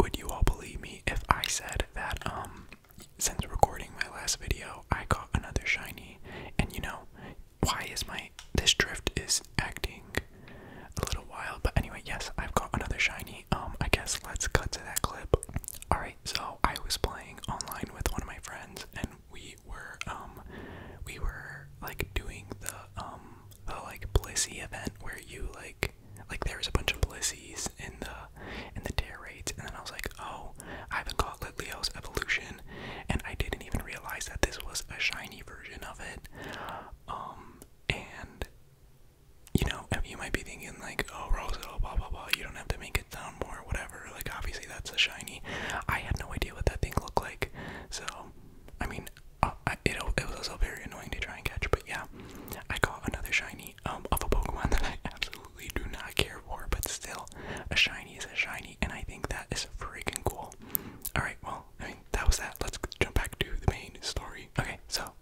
would you all believe me if I said that um since recording my last video I caught another shiny and you know why is my this drift is acting a little wild but anyway yes I've got another shiny um I guess let's cut to that clip alright so I was playing online with one of my friends and we were um we were like doing the um the like blissy event where you like like there was a bunch of Blizzies in the in the dare raids, and then I was like, oh, I haven't caught Leo's evolution, and I didn't even realize that this was a shiny version of it. Um, and you know, you might be thinking like, oh, Rosa, oh, blah blah blah. You don't have to make it sound more, whatever. Like, obviously, that's a shiny. I had no idea what that thing looked like, so I mean, uh, it it was also very annoying to try and catch, but yeah, I got another shiny um, of a Pokemon that I absolutely do not care for, but still, a shiny is a shiny, and I think that is freaking cool. Alright, well, I mean, that was that. Let's jump back to the main story. Okay, so,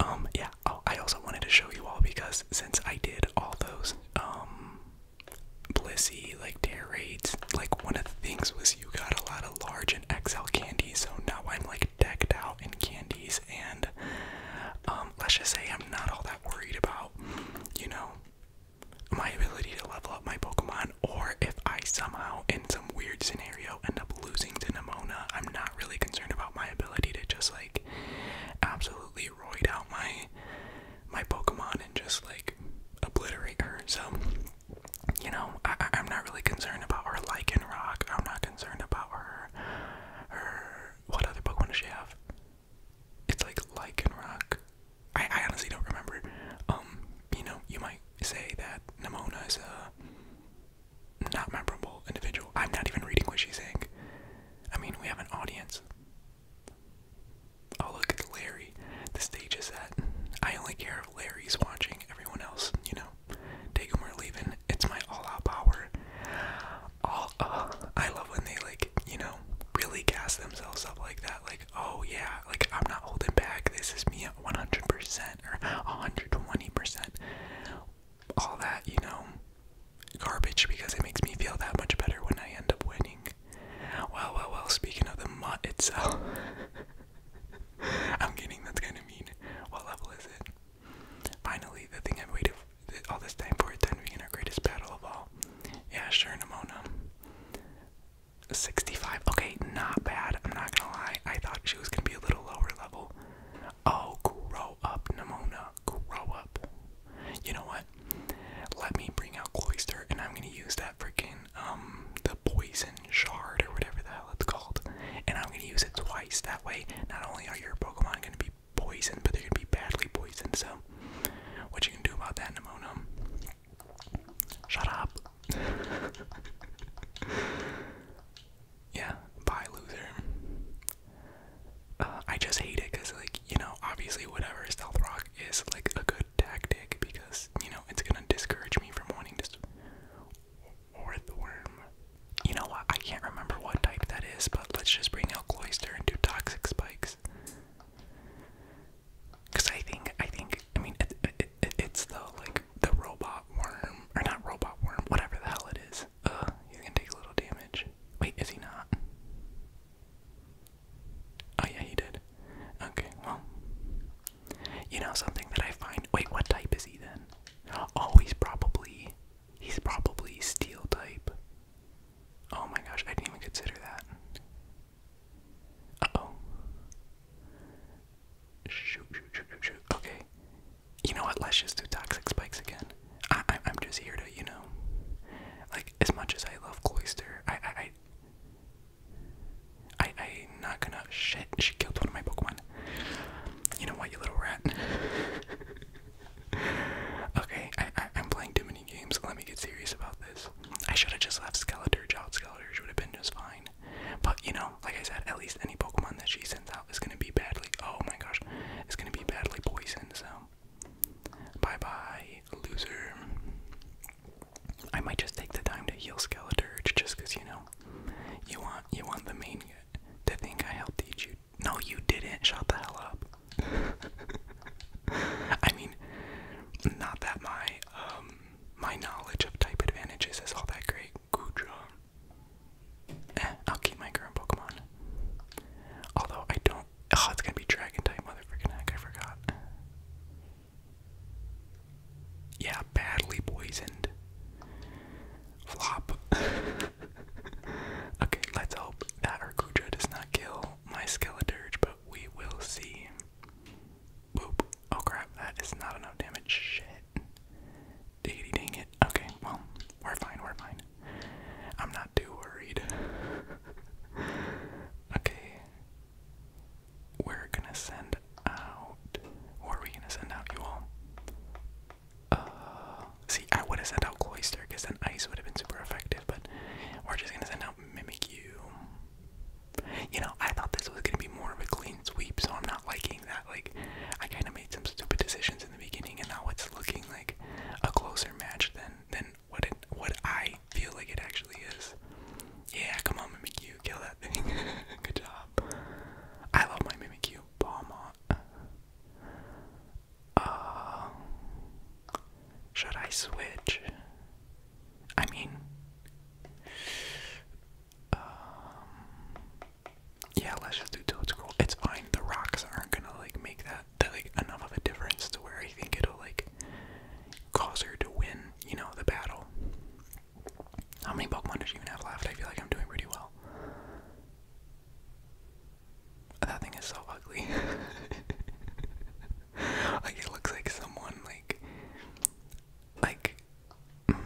um, yeah, oh, I also wanted to show you all because since I did all those, um, Blissey, like, tear raids, like, one of the things was you got a lot of large and XL candy, so now I'm, like, decked out out in candies and um, let's just say I'm not all that worried about, you know, my ability to level up my Pokemon or if I somehow in some weird scenario end up losing to Nymona, I'm not really concerned about my ability to just like absolutely roid out my my Pokemon and just like obliterate her. So you know, I am not really concerned about her like in rock. I'm not concerned about her. Her. What other Pokemon does she have? It's like Lycanroc. I, I honestly don't remember. Um, you know, you might say that Nimona is a not memorable individual. I'm not even reading what she's saying. I mean, we have an audience. Oh, look, at Larry. The stage is set. I only care if Larry's watching. Everyone else, you know, take him or it's my all-out power. All, oh, I love when they like, you know, really gas themselves up like that. Like, oh yeah, like I'm not holding back. This is me at 100% or 120%. All that, you know, garbage because it makes me feel that much better when I end up winning. Well, well, well. Speaking of the mutt itself, I'm kidding. That's kind of mean. What level is it? Finally, the thing I've waited all this time for then we begin our greatest battle of all. Yeah, sure, Nimona. 65. Okay, not bad. I'm not gonna lie. I thought she was gonna be a little lower level. Oh, grow up, Nimona. Grow up. You know what? Let me bring out Cloister, and I'm gonna use that freaking, um, the poison shard or whatever the hell it's called. And I'm gonna use it twice. That way, not only are your Pokemon gonna be poisoned, but they're gonna be badly poisoned. So, what you can do about that, Nemonum? Shut up. yeah, bye, loser. Uh, I just hate it because, like, you know, obviously, whatever Stealth Rock is, like, a good tactic because, you know, it's gonna discourage me from wanting to or the worm. You know what? I can't remember what type that is, but let's just bring out Cloyster and do Toxic Spikes. Cause I think I think I mean it's the like the robot worm or not robot worm whatever the hell it is. Uh, he's gonna take a little damage. Wait, is he not? Oh yeah, he did. Okay, well, you know something that I find. Wait, what type is he then? Oh, he's probably he's probably steel type. Oh my gosh, I didn't even consider that. Uh oh. Shoot, shoot, shoot, shoot, Okay. You know what? Let's just do toxic spikes again. I, I, am just here to, you know, like as much as I love cloister, I, I, I not gonna. Shit, she killed one of my Pokemon. You know what, you little rat? okay, I, I, am playing too many games. Let me get serious about this. I should have just left Skeleturge out. Skeleturge would have been just fine. But, you know, like I said, at least any Pokemon that she sends out is gonna be badly. Oh my gosh, it's gonna be badly poisoned, so. Bye bye, loser. I might just take the time to heal Skeleturge just because, you know, you want you want the main to think I helped teach you. No, you didn't. Shut the hell up. I mean, not that my um my knowledge of type advantages is all that great. Gudra. Eh, I'll keep my current Pokemon. Although I don't. Oh, it's gonna be Dragon type, motherfucking heck! I forgot. Yeah, badly poisoned. Flop. okay, let's hope that our Kuja does not kill my Skeleturge, but we will see. Boop. Oh crap, that is not enough damage. Shit. dang it. Okay, well, we're fine, we're fine. I'm not too worried. okay. We're gonna send out. Who are we gonna send out, you all? Uh, see, I would have sent out Cloister because then Ice would have been super effective, but we're just going to send out Mimikyu. You know, I thought this was going to be more of a clean sweep, so I'm not liking that. Like, I kind of made some stupid decisions in the beginning, and now it's looking like a closer match than, than what, it, what I feel like it actually is. Yeah, come on, Mimikyu, kill that thing. Good job. I love my Mimikyu. Obama. Uh, should I switch? I mean, um, yeah, let's just do Toad Scroll. It's fine. The rocks aren't gonna like make that like enough of a difference to where I think it'll like cause her to win. You know the battle. How many Pokemon does you even have left? I feel like I'm doing pretty well. That thing is so ugly. like it looks like someone like like mm,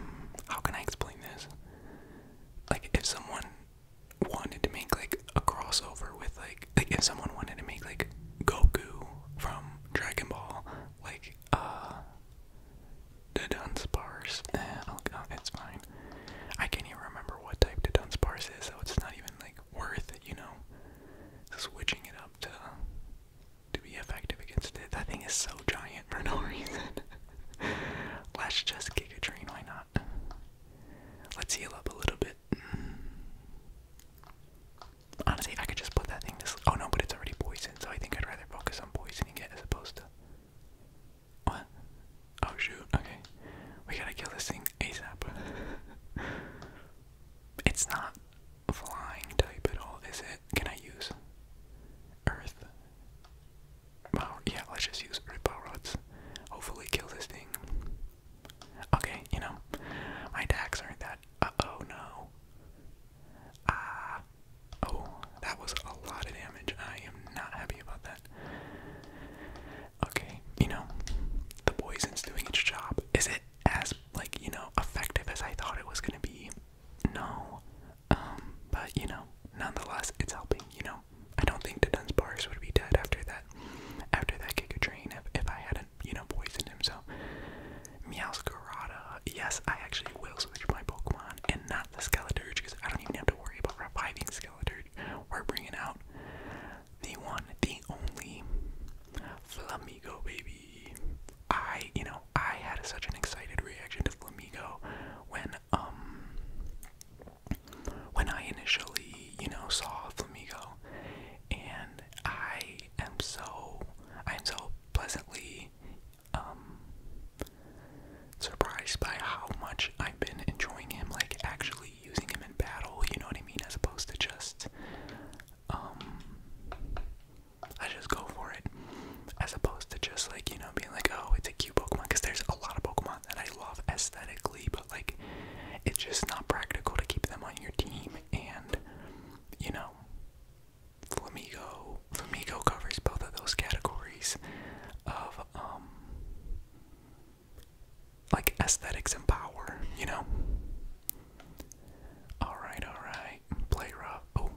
how can I explain this? Like if someone wanted to make like a crossover with like like if someone wanted to make like Goku from Dragon Ball like uh the Dunsparce. oh, it's fine. I can't even remember what type the Dunsparce is, so it's not even like worth you know, switching it up to to be effective against it. That thing is so giant for no reason. Let's just kick why not? Let's heal up a little bit. Honestly, I could just put that thing Oh no, but it's already poisoned, so I think I'd rather focus on poisoning it as opposed to what? Oh shoot, okay. We gotta kill this thing ASAP. it's not flying type at all, is it? Can I use Earth? Power yeah, let's just use Earth Power Rods. Hopefully kill this thing. Okay, you know, my attacks aren't that uh oh no. Ah, Oh, that was a lot of damage. I am not happy about that. Okay, you know, the poison's doing its job. Is it as, like, you know, effective as I thought it was gonna be? No. Um, but, you know, nonetheless, it's helping, you know. I don't think the Bars would be dead after that, after that kick a train if, if I hadn't, you know, poisoned him, so. Meowscarada. Yes, I actually will switch my Pokemon, and not the Skeleturge, because I don't even have to worry about reviving Skeleturge. We're bringing out the one, the only Flamigo, baby. I, you know, I had such an excited reaction to Flamigo when, um, when I initially, you know, saw Flamigo, and I am so, I am so pleasantly um, surprised by how much I've been enjoying him, like actually using him in battle, you know what I mean, as opposed to just, um, I just go for it, as opposed to just like, you know, being like, oh, it's a cute Pokemon, because there's a lot of Pokemon that I love aesthetically, but like, it's just not practical to keep them on your team, and, you know, Flamigo. Flamigo covers both of those categories of um like aesthetics and power, you know. All right, all right. Play rough. Oh,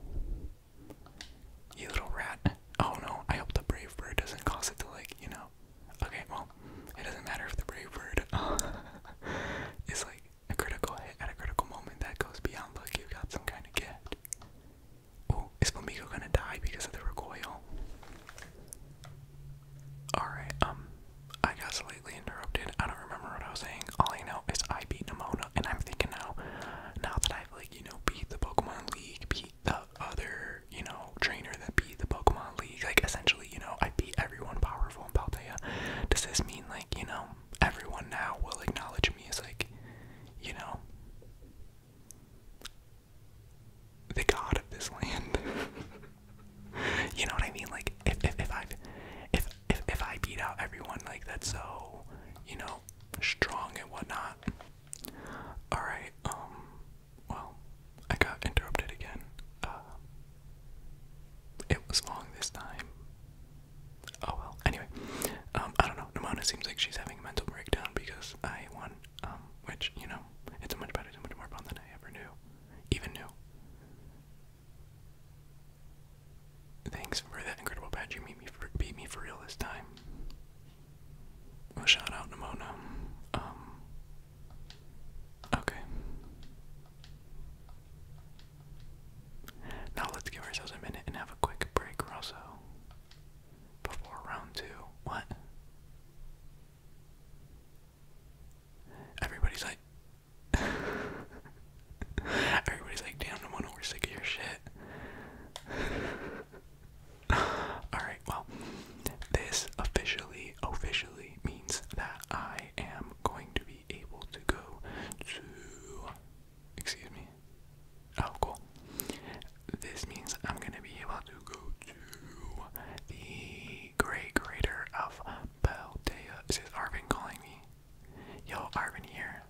you little rat. Oh no, I hope the brave bird doesn't cause it to like, you know. Okay, well, it doesn't matter if the brave bird is like a critical hit at a critical moment that goes beyond luck. You got some kind of gift. Oh, is Flamingo gonna die because of the recoil? Alright, um, I got slightly interrupted. I don't remember what I was saying. All I know is I beat Nimona, and I'm thinking now, now that I've, like, you know, beat the Pokemon League, beat the other, you know, trainer that beat the Pokemon League, like, essentially, you know, I beat everyone powerful in Paltea. Does this mean, like, you know, everyone now will acknowledge me as, like, you know, the god of this land. you know what I mean? Like if if if I if if if I beat out everyone like that's so you know strong and whatnot. All right. Um, well, I got interrupted again. Uh, it was long this time. Oh well. Anyway, um, I don't know. Namona seems like she's having a mental breakdown because I won, um, which you know, it's much better, so much more fun than I ever knew, even knew. Thanks for that incredible badge. You beat me for, beat me for real this time. shout out Namona. Um, okay. Now let's give ourselves a minute and have a quick break, Rosso before round two. What? Everybody's like, everybody's like, damn, no wonder we're sick of your shit. Alright, well, this officially, officially means that I am going to be able to go to, excuse me, Oh, cool. This means I'm gonna be able to go to the Grey Crater of Paldea. Is this Arvin calling me? Yo, Arvin here.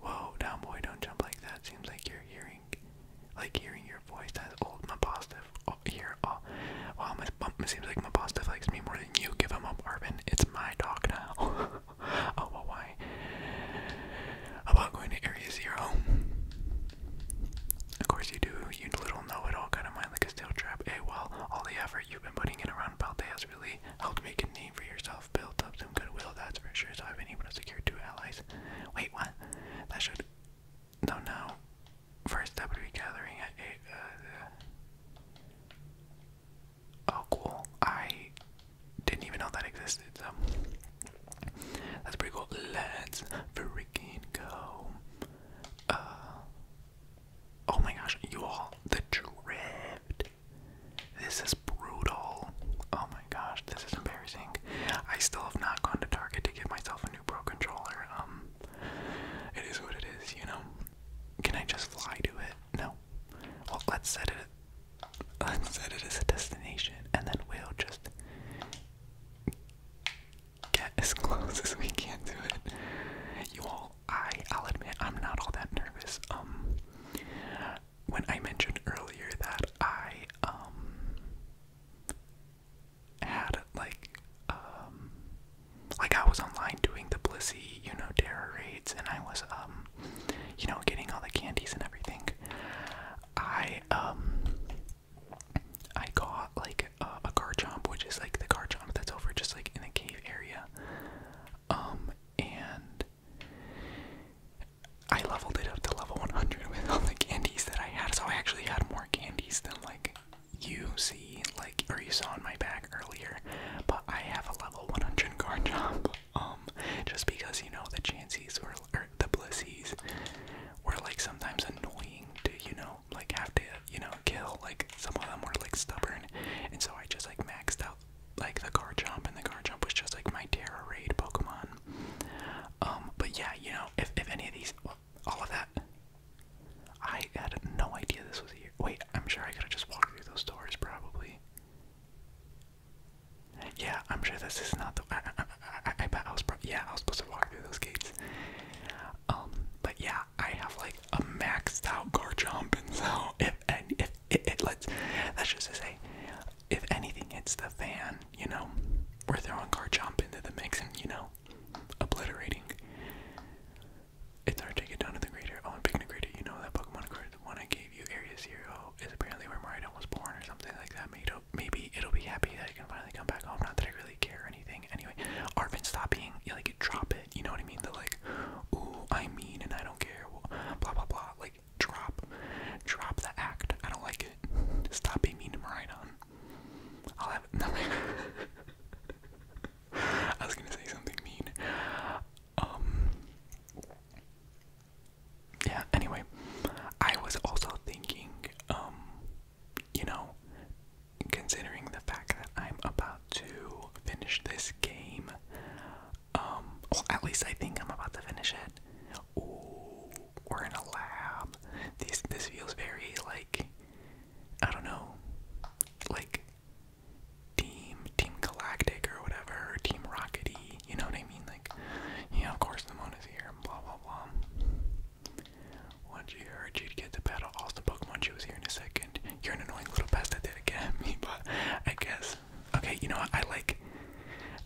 Whoa, down boy, don't jump like that. Seems like you're hearing, like hearing your voice. That's old My Mapostif oh, here. Oh, wow, my, it seems like my Mapostif likes me more than you. Give him up, Arvin. It's my dog now. oh, well, why? About going to Area Zero. Of course you do, you little know-it-all kind of mind like a steel trap. Hey, well, all the effort you've been putting in around Balde has really helped make a name for yourself, built up some goodwill, that's for sure, so I've been able two allies. Wait, what? That should... No, no. First step would be gathering at uh, Oh, cool. I didn't even know that existed. So that's pretty cool. Let's freaking go. Uh, oh my gosh, you all, the drift. This is brutal. Oh my gosh, this is embarrassing. I still have not gone to Target to get myself a new Pro controller. Um, it is what it is, you know. Can I just fly to it? No. Well, let's set it. Let's set it as a destination, and then we'll just get as close as we can to it. You all, I, I'll admit, I'm not all that nervous. Um, when I mentioned earlier that I um had like um like I was online doing the Blissey, you know, terror raids, and I was um you know, getting all the candies and everything. I um I got like uh, a, car jump, which is like the car jump that's over just like in the cave area. Um and I leveled it up to level 100 with all the candies that I had, so I actually had more candies than like you see, like or you saw in my bag earlier. But I have a level 100 car jump. Um, just because you know the chances were or the blissies were like sometimes annoying to you know like have to you know kill like some of them were like stubborn, and so I just like maxed out like the car jump and the car jump was just like my Terra raid Pokemon. Um, but yeah, you know if if any of these all of that. I had no idea this was here. Wait, I'm sure I could have just walked through those doors, probably. Yeah, I'm sure this is not the. I, bet I was. Yeah, I was supposed to walk through those gates. Um, but yeah, I have like a maxed out Garchomp, and so if and if it, lets, that's just to say, if anything hits the fan, you know, we're throwing jump into the mix and you know, obliterating. It's hard to get down to the grader. Oh, I'm picking a grader. You know that Pokemon, card the one I gave you, Area Zero, is apparently where Mario was born or something like that. Maybe it'll, maybe it'll be happy that I can finally come back home. Not that I really care anything. Anyway, Arvin, stop being you like drop it. You know what I mean? The like, ooh, I mean, and I don't care. Blah blah blah. Like drop, drop the act. I don't like it. Stop being mean to Maridon. I'll have nothing. I was gonna say something mean. Um, yeah, anyway, I was also thinking, um, you know, considering the fact that I'm about to finish this game, um, well, at least I think I'm about to finish it. Ooh, we're in a lab. This this feels very like, I don't know, like team team Galactic or whatever, team Rockety. You know what I mean? Like, yeah, of course the moon is here, and blah, blah, blah. Once you heard you'd get the battle, all the Pokemon she was here in a second. You're an annoying little pest that did again, but I guess. Okay, you know what? I like,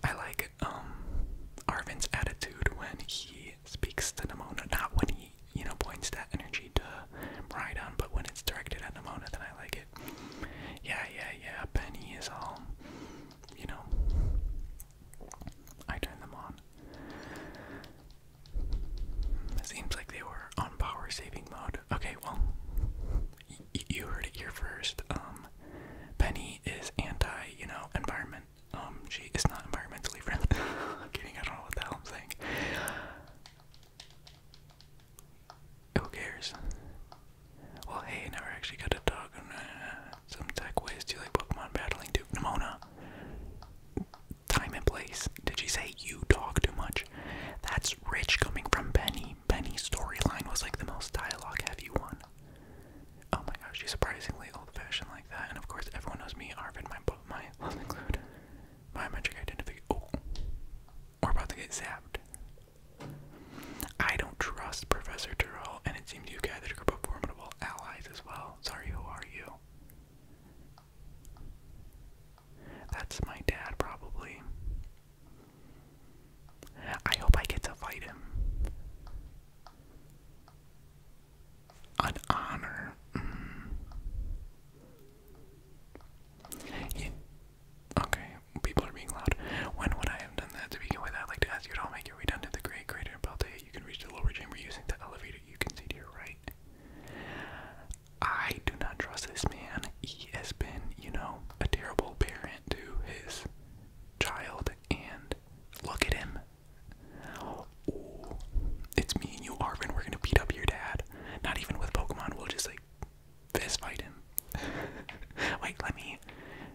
I like, um, Arvin's attitude when he speaks to Nimona, not when he, you know, points that energy to Rhydon, but when it's directed at Nimona, then I like it. Yeah, yeah, yeah, Penny is all um, you know, I turned them on. seems like they were on power saving mode. Okay, well, you heard it here first. Um, Penny is anti, you know, environment. Um, she is not environmentally friendly. kidding, I don't know what the hell I'm saying. Who cares? Well, hey, never actually got a dog. Uh, some tech ways to like Pokemon battling too. Nimona. Time and place. Did she say you talk too much? That's rich coming from Penny. Penny's storyline was like the most dialogue heavy one. Oh my gosh, she's surprisingly old fashioned like that. And of course, everyone knows me, Arvid, my book, my love include. Biometric identity. Oh. We're about to get zapped. I don't trust Professor Durrell, and it seems you've gathered a group of formidable allies as well. Sorry, who are you? That's my dad, probably. I hope I get to fight him. An honor. Mm. Okay, people are being loud. When would I have done that to begin with? I'd like to ask you to all make your way down to the great crater and belt You can reach the lower chamber using the elevator you can see to your right. I do not trust this man. He has been, you know, a terrible parent to his child. And look at him. it's me and you, Arvin. We're gonna beat up your dad. Not even with Pokemon. We'll just like fist fighting. Wait, let me.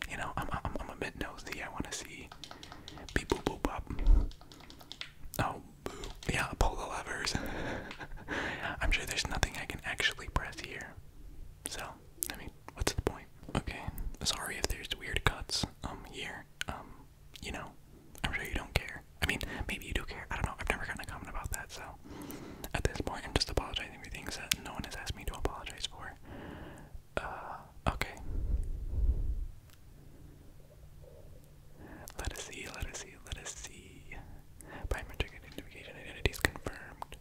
You know, I'm I'm I'm a bit nosy. I want to see. people boop boop up. Oh, boo. yeah, pull the levers. I'm sure there's nothing I can actually press here. So, I mean, what's the point? Okay, sorry if there's weird cuts um here. Um, you know, I'm sure you don't care. I mean, maybe you do care. I don't know. I've never gotten a comment about that, so at this point, I'm just apologizing be things that no one has asked me to apologize for. Uh, okay. Let us see, let us see, let us see. Biometric identification identity is confirmed.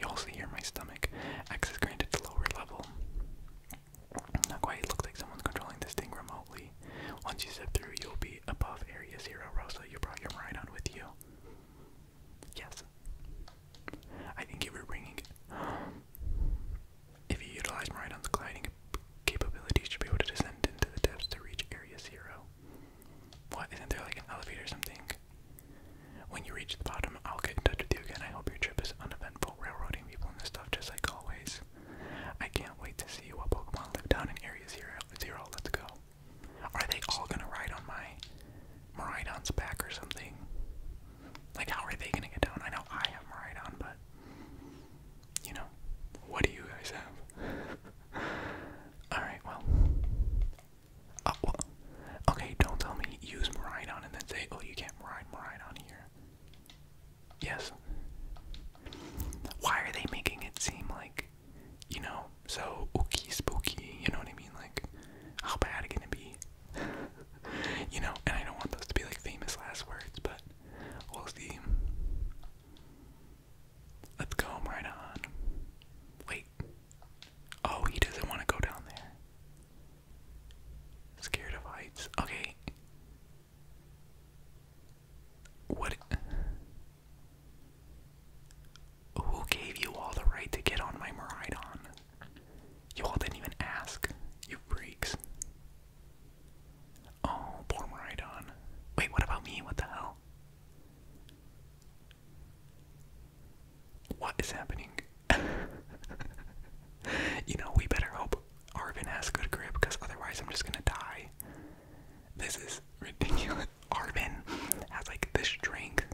You also hear my stomach. Access granted to lower level. Not quite, looks like someone's controlling this thing remotely. Once you step through, you'll be above Area Zero, Rosa. You brought your ride on with you. Yes. I think you were bringing If you utilize Maridon's gliding capabilities, you should be able to descend into the depths to reach Area Zero. What? Isn't there like an elevator or something? When you reach the bottom, I'll get in touch with you again. I hope your trip is uneventful, railroading people and stuff just like always. I can't wait to see what Pokemon live down in Area Zero. Zero, let's go. Are they all gonna ride on my Maridon's back or something. Like, how are they gonna get down? I know I have Maridon, but you know, what do you guys have? All right, well, oh, okay. Don't tell me use Maridon and then say, oh, you can't ride Maridon here. Yes. Why are they making it seem like, you know, so ooky spooky, you know what I mean? Like, how bad it gonna be? you know, and I don't want those to be like famous last words, but we'll see. Let's go right on. Wait. Oh, he doesn't want to go down there. Scared of heights. Okay. What? Who gave you all the right to get on my Maridon? You all didn't even ask, you freaks. Oh, poor Maridon. Wait, what about me? What the hell? What is happening? you know, we better hope Arvin has good grip, because otherwise I'm just gonna die. This is ridiculous. Arvin has like the strength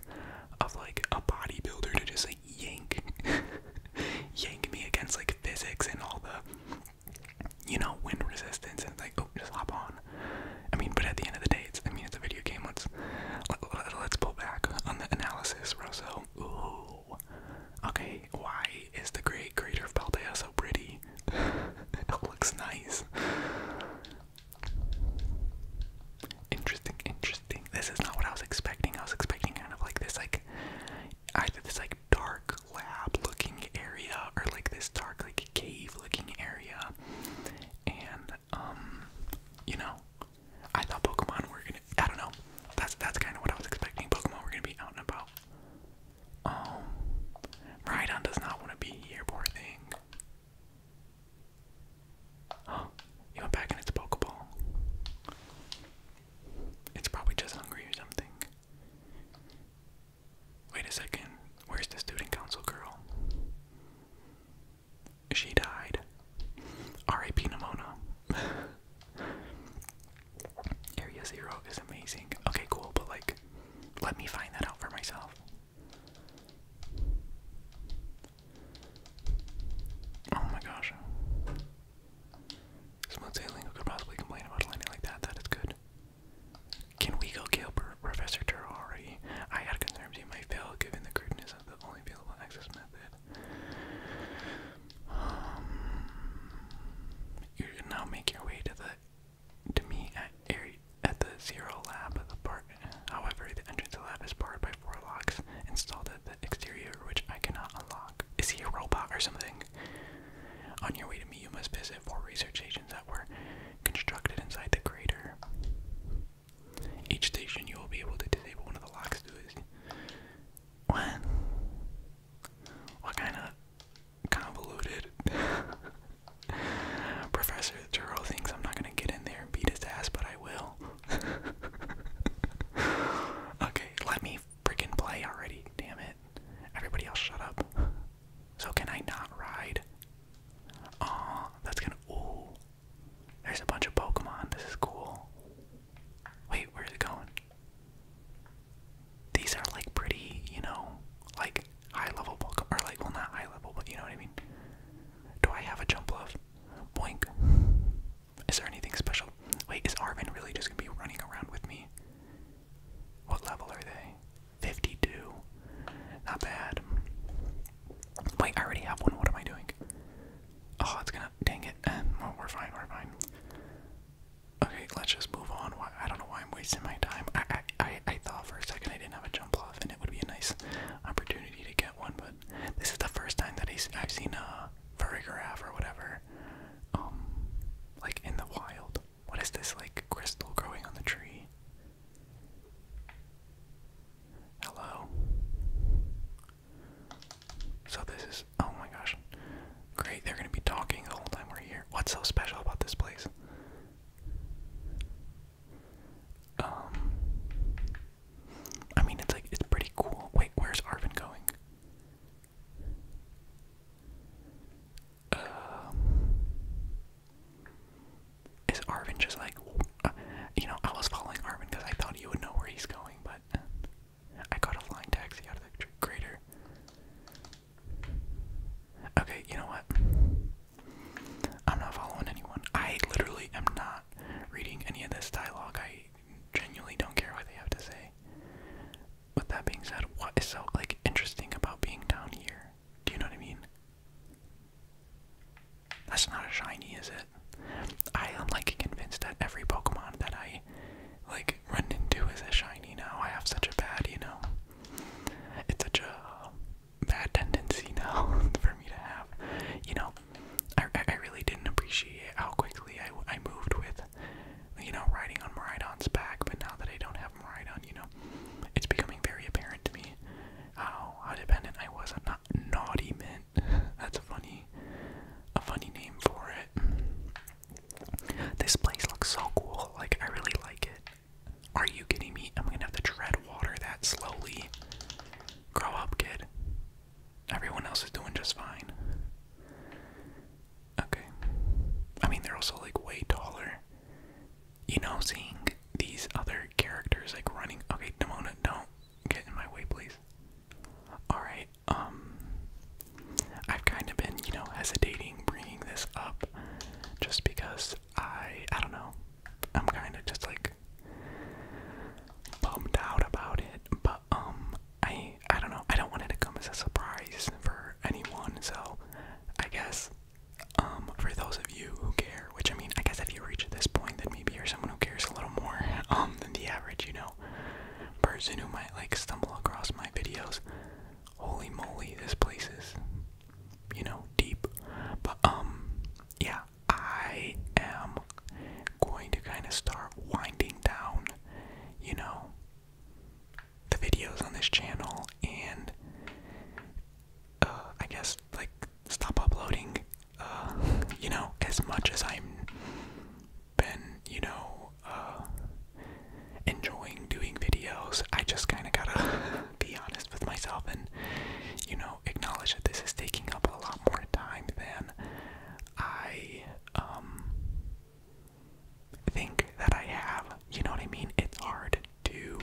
of like a bodybuilder to just like yank yank me against like physics and all the you know wind resistance and like oh just hop on i mean but at the end of the day it's i mean it's a video game let's let, us pull back on the analysis rosso ooh okay why is the great crater of Paldea so pretty it looks nice Interesting, interesting. This is not what I was expecting. I was expecting kind of like this, like either this like dark lab-looking area or like this dark like cave-looking area. And um, you know, I thought Pokemon were gonna. I don't know. That's that's kind of what I was expecting. Pokemon were gonna be out and about. Um, Rhydon does not want to be here, poor thing. Oh, it went back in its Pokeball. It's probably just hungry or something. Wait a second, where's the student council girl? She died. R.A.P. Nimona. Area Zero is amazing. Okay, cool, but like, let me find that out for myself. Oh my gosh. Smooth sailing, who could possibly complain about a landing like that? That is good. Can we go kill Professor Turtle I had concerns he might fail given the crudeness of the only available access method. Um, you now make your way to the to me at at the zero lab of the park. However, the entrance to the lab is barred by four locks installed at the exterior, which I cannot unlock. Is he a robot or something? On your way to me, you must visit four research stations that were constructed inside the crater. Each station, you will be able to disable one of the locks Do it. What? What kind of convoluted? Professor Turl thinks I'm not gonna get in there and beat his ass, but I will. okay, let me freaking play already. Damn it. Everybody else shut up. So can I not ride? Aw, that's gonna ooh. There's a bunch of Pokemon. This is cool. Wait, where are they going? These are like pretty, you know, like high level Pokemon or like well not high level, but you know what I mean. Do I have a jump love? Boink. Is there anything special? Wait, is Arvin really just gonna be running around with me? What level are they? 52. Not bad. Wait, I already have one. What am I doing? Oh, it's gonna. Dang it. Eh, well, we're fine, we're fine. Okay, let's just move on. Why, I don't know why I'm wasting my time. I, I, I thought for a second I didn't have a jump off, and it would be a nice opportunity to get one, but this is the first time that he's, I've seen a uh, vertigraph or whatever, um, like in the wild. What is this like crystal growing on the tree? Hello. So this is oh my gosh. Great, they're gonna be talking the whole time we're here. What's so special about this place? Um I mean, it's like, it's pretty cool. Wait, where's Arvin going? Um, is Arvin just like, uh, you know, I was following Arvin because I thought you would know where he's going, but I got a flying taxi out of the crater. Okay, you know what? I'm not following anyone. I literally am not reading any of this dialogue. I genuinely don't care what they have to say. With that being said, what is so like interesting about being down here? Do you know what I mean? That's not a shiny, is it? I am like convinced that every Pokemon that I like run into is a shiny now. I have such a bad, you know. It's such a bad tendency now for me to have. You know, I, I really didn't appreciate how quickly I, I moved with, you know, riding on Maridon's back, but now that I don't have Maridon, you know, it's becoming very apparent to me how, how dependent I was on not Naughty Mint. That's a funny, a funny name for it. This place looks so cool. Like, I really like it. Are you kidding me? I'm gonna have to tread water that slowly. Grow up, kid. Everyone else is doing just fine. Okay. I mean, they're also like way taller. You know, seeing these other characters like running. Okay, Demona, don't get in my way, please. Alright, um. I've kind of been, you know, hesitating bringing this up just because I. I don't know. I'm kind of just like bummed out about it, but um, I I don't know. I don't want it to come as a surprise for anyone. So I guess um, for those of you who care, which I mean, I guess if you reach this point, then maybe you're someone who cares a little more um than the average, you know, person who might like stumble across my videos. Holy moly, this place is, you know, deep. But um, yeah, I am going to kind of start winding down, you know, the videos on this channel and uh, I guess like stop uploading, uh, you know, as much as I'm been, you know, uh, enjoying doing videos. I just kind of gotta be honest with myself and, you know, acknowledge that this is taking up a lot more time than I um, think that I have. You know what I mean? It's hard to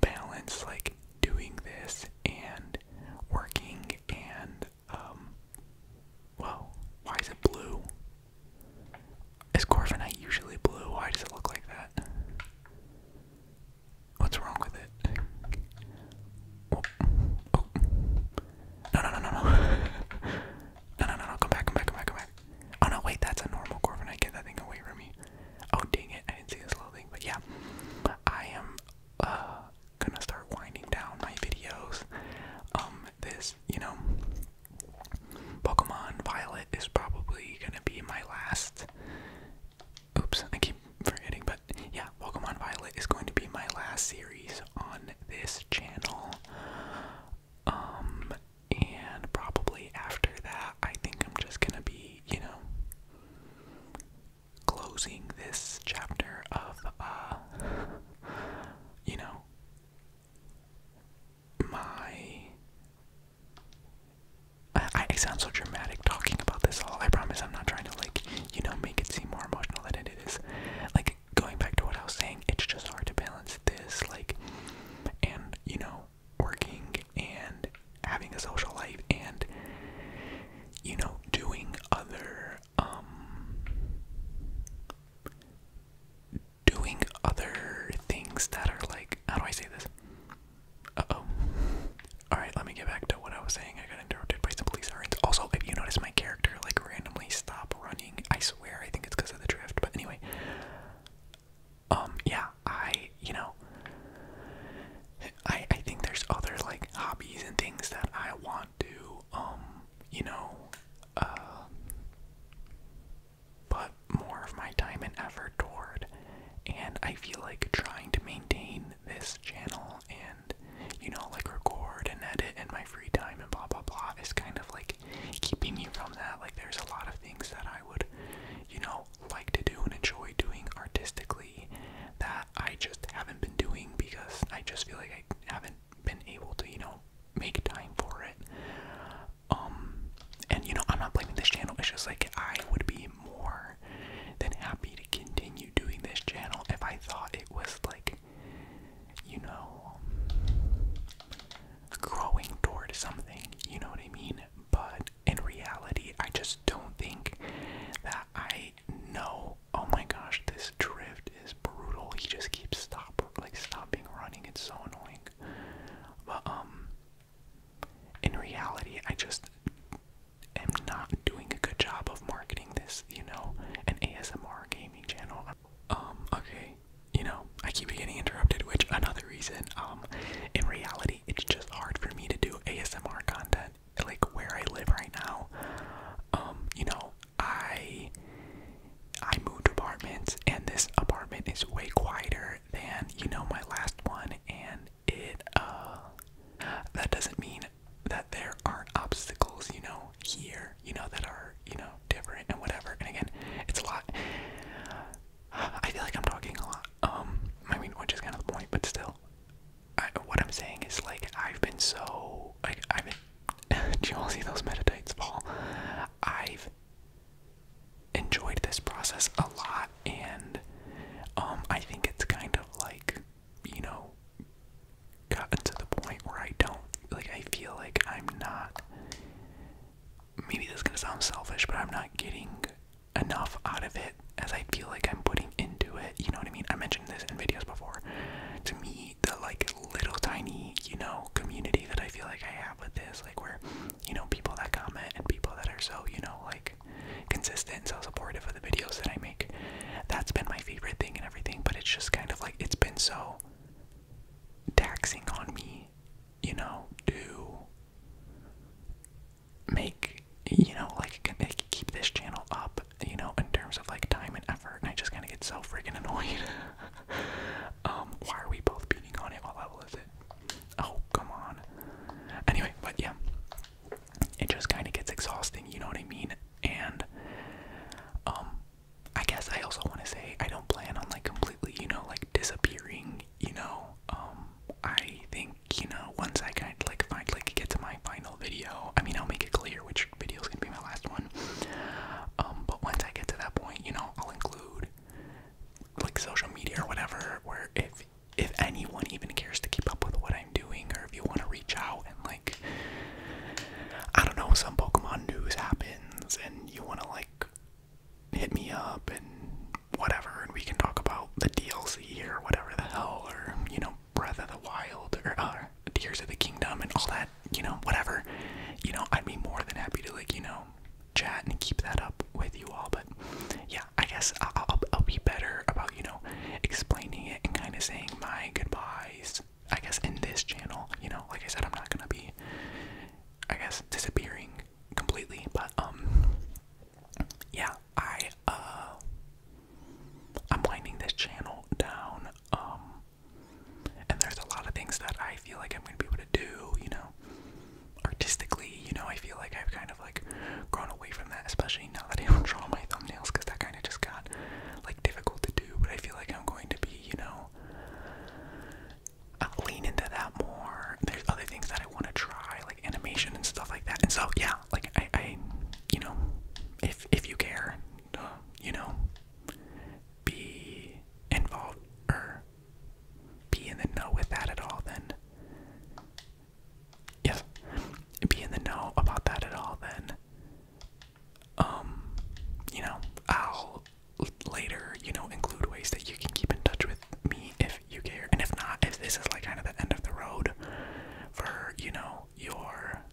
balance like doing this and working and um, well, why is it blue? Is Corviknight usually blue? Why does it look like that? What's wrong with it? Oh, oh. No, no, no, no, no. no, no, no, Come back, come back, come back, come back. Oh, no, wait, that's a normal Corviknight. Get that thing away from me. Oh, dang it. I didn't see this little thing. But yeah, I am uh, gonna start winding down my videos. Um, this, you know, Pokemon Violet is probably gonna be my last Oops, I keep forgetting, but yeah, Welcome on Violet is going to be my last series on this channel. Um, and probably after that, I think I'm just gonna be, you know, closing this chapter of, uh, you know, my I, sound so dramatic talking about this all. I promise I'm not trying to, like, you know, make it seem more emotional than it is. Like, going back to what I was saying, it's just hard to balance this, like, and, you know, working and having a social life and, you know, doing other, um, doing other things that are like, how do I say this? Uh oh. Alright, let me get back to what I was saying. I got interrupted by some police sirens. Also, if you notice my character like randomly stop running, I swear I think it's because of the drift. But anyway. Um, yeah, I you know I I think there's other like hobbies and things that I want to um, you know, uh put more of my time and effort toward and I feel like trying to maintain this channel and, you know, like record and edit in my free time and blah blah blah is kind of like keeping me from that. Like, there's a lot of things that I would, you know, like to do and enjoy doing artistically that I just haven't been doing because I just feel like I haven't been able to, you know, make time for it. Um, and you know, I'm not blaming this channel, it's just like I would be more than happy to continue doing this channel if I thought it was like, you know, growing toward something, you know what I mean? But in reality, I just don't think that I know. Oh my gosh, this drift is brutal. He just keeps stop like stopping running. It's so annoying. But um in reality, I just am not doing a good job of marketing this, you know, an ASMR gaming channel. Um, okay, you know, I keep getting interrupted, which another reason, um, in reality, it's just hard for me to do ASMR content, like where I live right now. Um, you know, I I moved apartments and this apartment is way quieter than, you know, my last one and it uh that doesn't mean that there aren't obstacles, you know, here, you know, that are, you know, different and whatever. And again, it's a lot. I feel like I'm talking a lot. Um, I mean, which is kind of the point, but still, what I'm saying is like I've been so like I've do you all see those meditates fall? I've enjoyed this process a lot, and um, I think it's kind of like you know, gotten to the point where I don't, like, I feel like I'm not, maybe this is going to sound selfish, but I'm not getting enough out of it as I feel like I'm putting into it. You know what I mean? I mentioned this in videos before. To me, the, like, little tiny, you know, community that I feel like I have with this, like, where, you know, people that comment and people that are so, you know, like, consistent and so supportive of the videos that I make. That's been my favorite thing and everything, but it's just kind of like it's been so taxing on me, you know, to make, you know, like, keep this channel up, you know, in terms of like time and effort, and I just kind of get so freaking annoyed. um, why are we both beating on it? What level is it? Oh, come on. Anyway, but yeah, it just kind of gets exhausting, you know what I mean? And um I guess I also want to say I don't plan on like completely, you know, like disappearing, you know. Um I think, you know, once I kind of like find like get to my final video, I mean, I'll make it clear which video's going to be my last one. Um but once I get to that point, you know, I'll include like social media or whatever where if if anyone even cares to keep up with what I'm doing, or if you want to reach out and like, I don't know, some Pokemon news happens and you want to like hit me up and whatever, and we can talk about the DLC here, whatever the hell, or you know, Breath of the Wild or uh, Tears of the Kingdom and all that, you know, whatever. You know, I'd be more than happy to like, you know, chat and keep that up with you all, but yeah, I guess I'll, be better about, you know, explaining it and kind of saying my goodbyes. I guess in this channel, you know, like I said, I'm not gonna be, I guess, disappearing completely, but, um, yeah, I, uh, I'm winding this channel down, um, and there's a lot of things that I feel like I'm gonna be able to do, you know, artistically, you know, I feel like I've kind of like grown away from that, especially now that I don't draw my thumbnails because that kind of just got like difficult to do. But I feel like I'm going to be, you know, i uh, lean into that more. There's other things that I want to try, like animation and stuff like that. And so, yeah, like I, you know, if if you care, uh, you know, be involved or be in the know with that at all, then yes, be in the know about that at all, then, um, you know, I'll later, you know, include ways that you can keep in touch with me if you care. And if not, if this is like kind of the end of the road for, you know, your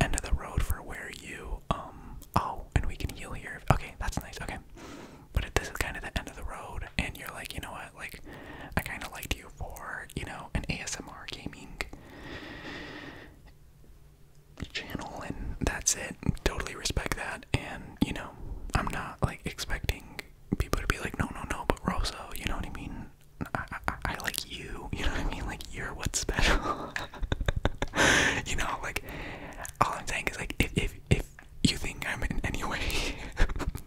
end of the road for where you, um, oh, and we can heal here. Okay, that's nice. Okay. But if this is kind of the end of the road, and you're like, you know what, like, I kind of liked you for, you know, an ASMR gaming channel, and that's it. Totally respect that, and, you know, I'm not, like, expecting people to be like, no, no, no, but Rosa, you know what I mean? I, I, I like you, you know what I mean? Like, you're what's special. you know, like, all I'm saying is, like, if, if you think I'm in any way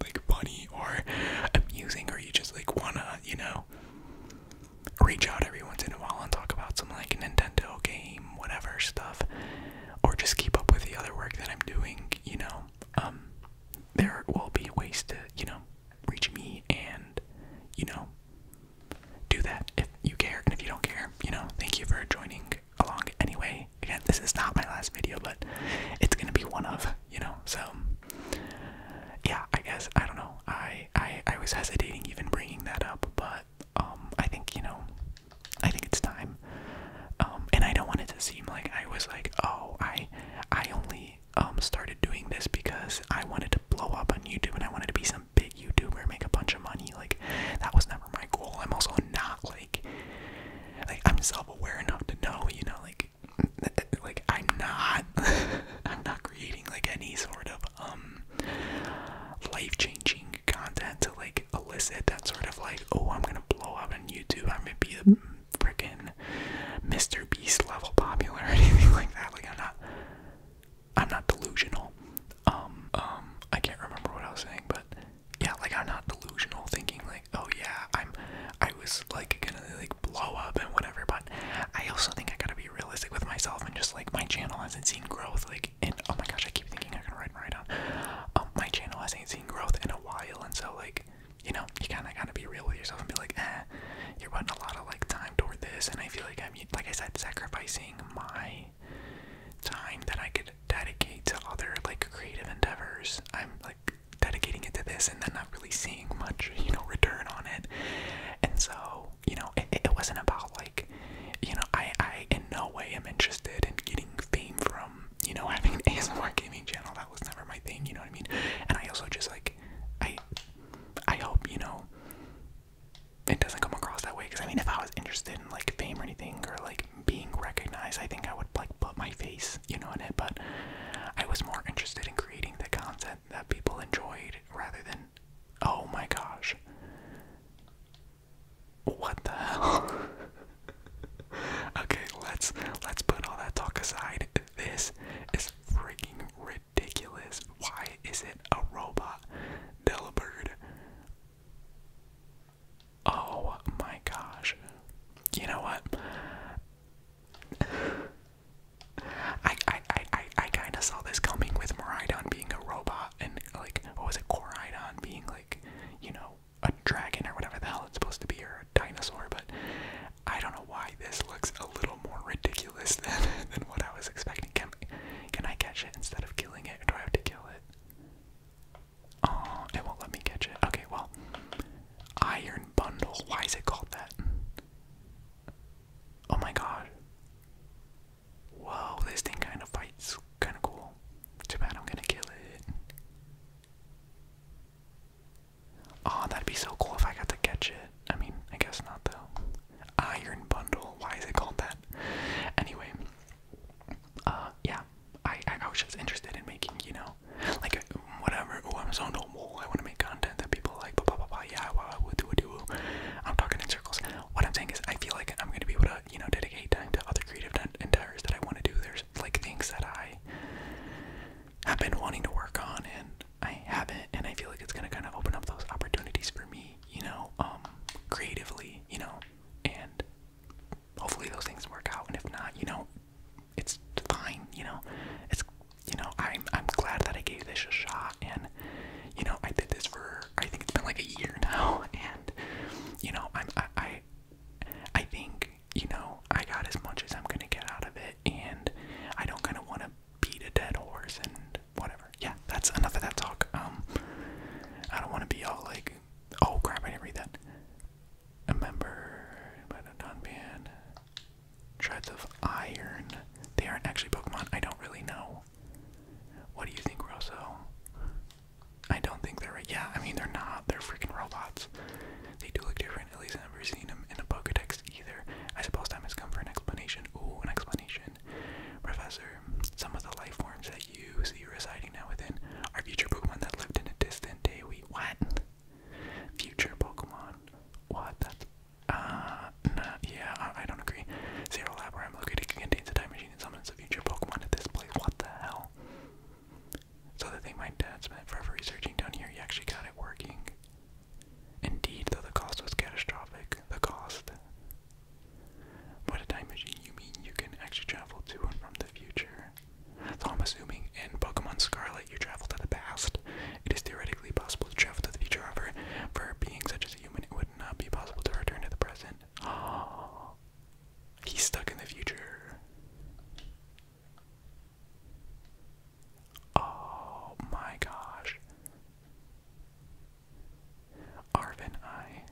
like funny or amusing, or you just like wanna, you know, reach out every once in a while and talk about some like Nintendo game, whatever stuff, or just keep up with the other work that I'm doing, you know, um, there will be ways to, you know, reach me and, you know, do that if you care and if you don't care, you know, thank you for joining along anyway. Again, this is not my last video, but it's gonna be one of, you know, so yeah, I guess I don't know. I I, I was hesitating even bringing that up, but um I think, you know, I think it's time. Um and I don't want it to seem like I was like, oh, I I only um started doing this because I wanted to blow up on YouTube and I wanted to be some big YouTuber, make a bunch of money. Like that was never my goal. I'm also not like like like I'm self-aware enough to know, you know, like like I'm not I'm not creating like any sort of um life-changing content to like elicit that sort of like, oh, I'm gonna blow up on YouTube, I'm gonna be the freaking Mr. Beast level popular or anything like that. Like I'm not I'm not delusional. Um um I can't remember what I was saying, but yeah, like I'm not delusional thinking like, oh yeah, I'm I was like gonna like blow up and whatever, but I also think I gotta be realistic with myself and just like my channel hasn't seen growth like and oh my gosh, I keep thinking I can write right on. Um my channel hasn't seen growth in a while and so like you know, you kinda gotta be real with yourself and be like, eh, you're putting a lot of like time toward this and I feel like I'm like I said, sacrificing my time that I could dedicate to other like creative endeavors. I'm like dedicating it to this and then not really seeing much, you know, return on it. And so, you know, it, wasn't about like, you know, I, I in no way am interested in getting fame from, you know, having an ASMR gaming channel. That was never my thing, you know what I mean? And I also just like, I, I hope, you know, it doesn't come across that way because I mean, if I was interested in like fame or anything or like being recognized, I think I would like put my face, you know, in it. But I was more interested in creating the content that people enjoyed rather than. Oh my gosh. What the hell? okay, let's let's put all that talk aside. This is freaking ridiculous. Why is it a robot? DelaBird? Oh my gosh. You know what? I I I I, I kind of saw this coming with Maridon being a robot and like what was it Coridon being like you know a dragon or whatever the hell it's supposed to be or a dinosaur but I don't know why this looks a little more ridiculous than than what I was expecting. Can, can I catch it instead of killing it? Or do I have to kill it? Oh, it won't let me catch it. Okay, well. Iron Bundle. Why is it called that? Oh my god. Whoa, this thing kind of fights. Kind of cool. Too bad I'm gonna kill it. Oh, that'd be so cool if I got to catch it. I mean, I guess not though. Iron Bundle. Why is it called that? Anyway, uh, yeah, I, I, was just interested in making, you know, like whatever. Oh, I'm I want to make content that people like. Blah blah blah. blah. Yeah, wow, well, do do. I'm talking in circles. What I'm saying is, I feel like I'm gonna be able to, you know, dedicate time to other creative endeavors that I want to do. There's like things that I have been wanting to work on and I haven't, and I feel like it's gonna kind of open up those opportunities for me, you know, um, creatively, you know, and hopefully those things work out and if not you know it's fine you know it's you know i'm i'm glad that i gave this a shot and you know i did this for i think it's been like a year now and you know i'm i i, think you know i got as much as i'm gonna get out of it and i don't kind of want to beat a dead horse and whatever yeah that's enough of that talk um i don't want to be all like oh crap, I didn't read that. A member but a non-ban. Treads of Iron. They aren't actually Pokemon. I don't really know. What do you think, Rosso? I don't think they're right. Yeah, I mean, they're not. They're freaking robots. They do look different. At least I've never seen them in a Pokedex either. I suppose time has come for an explanation. Ooh, an explanation. Professor, some of the life forms that you, see residing now within our future Pokemon that lived in a distant day. We what? Future Pokemon? What? That's uh, nah, yeah, I, don't agree. Zero Lab, where I'm located, contains a time machine and summons a future Pokemon at this place. What the hell? So the thing my dad spent forever researching down here, he actually got it working. Indeed, though the cost was catastrophic. The cost. What a time machine, you mean you can actually travel to and from the future? Though I'm assuming in Pokemon Scarlet you travel to the past, it is theoretically possible to travel to the future. However, for a being such as a human, it would not be possible to return to the present. Oh, he's stuck in the future. Oh my gosh. Arvin, I.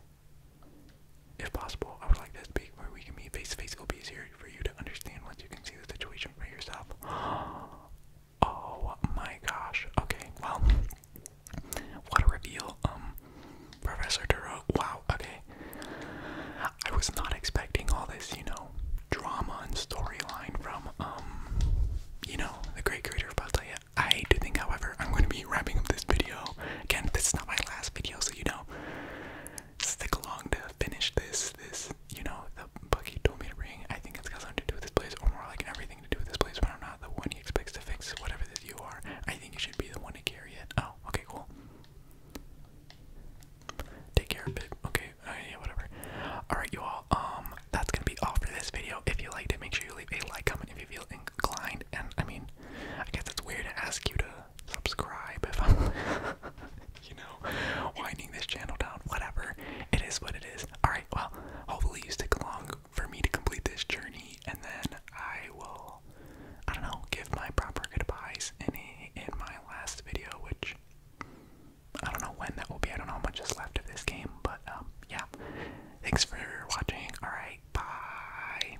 If possible, I would like to speak where we can meet face to face. It'll be easier for you to understand once you can see the situation for yourself. Oh my gosh. Okay, well, what a reveal. Um, Professor Duro. Wow, okay. I was not expecting all this, you know, drama and storyline from, um, you know, the great creator of Battleia. I do think, however, I'm going to be wrapping up this video. Again, this is not my last video, so you know, stick along to finish this, this, you know, the bug told me to ring. I think it's got something to do with this place, or more like everything to do with this place, but I'm not the one he expects to fix whatever that you are. I think you should be the one to carry it. Oh, okay, cool. Take care of it. Okay, uh, yeah, whatever. Alright, you all, um, that's gonna be all for this video. If you liked it, make sure you leave a like, comment if you feel inclined, and I mean, I guess it's weird to ask you to subscribe if I'm, you know, winding this channel down. Whatever. It is what it is. Alright, well, hopefully you stick along for me to complete this journey, and then I will, I don't know, give my proper goodbyes in, in my last video, which I don't know when that will be. I don't know how much is left of this game, but um, yeah. Thanks for watching. Alright, bye.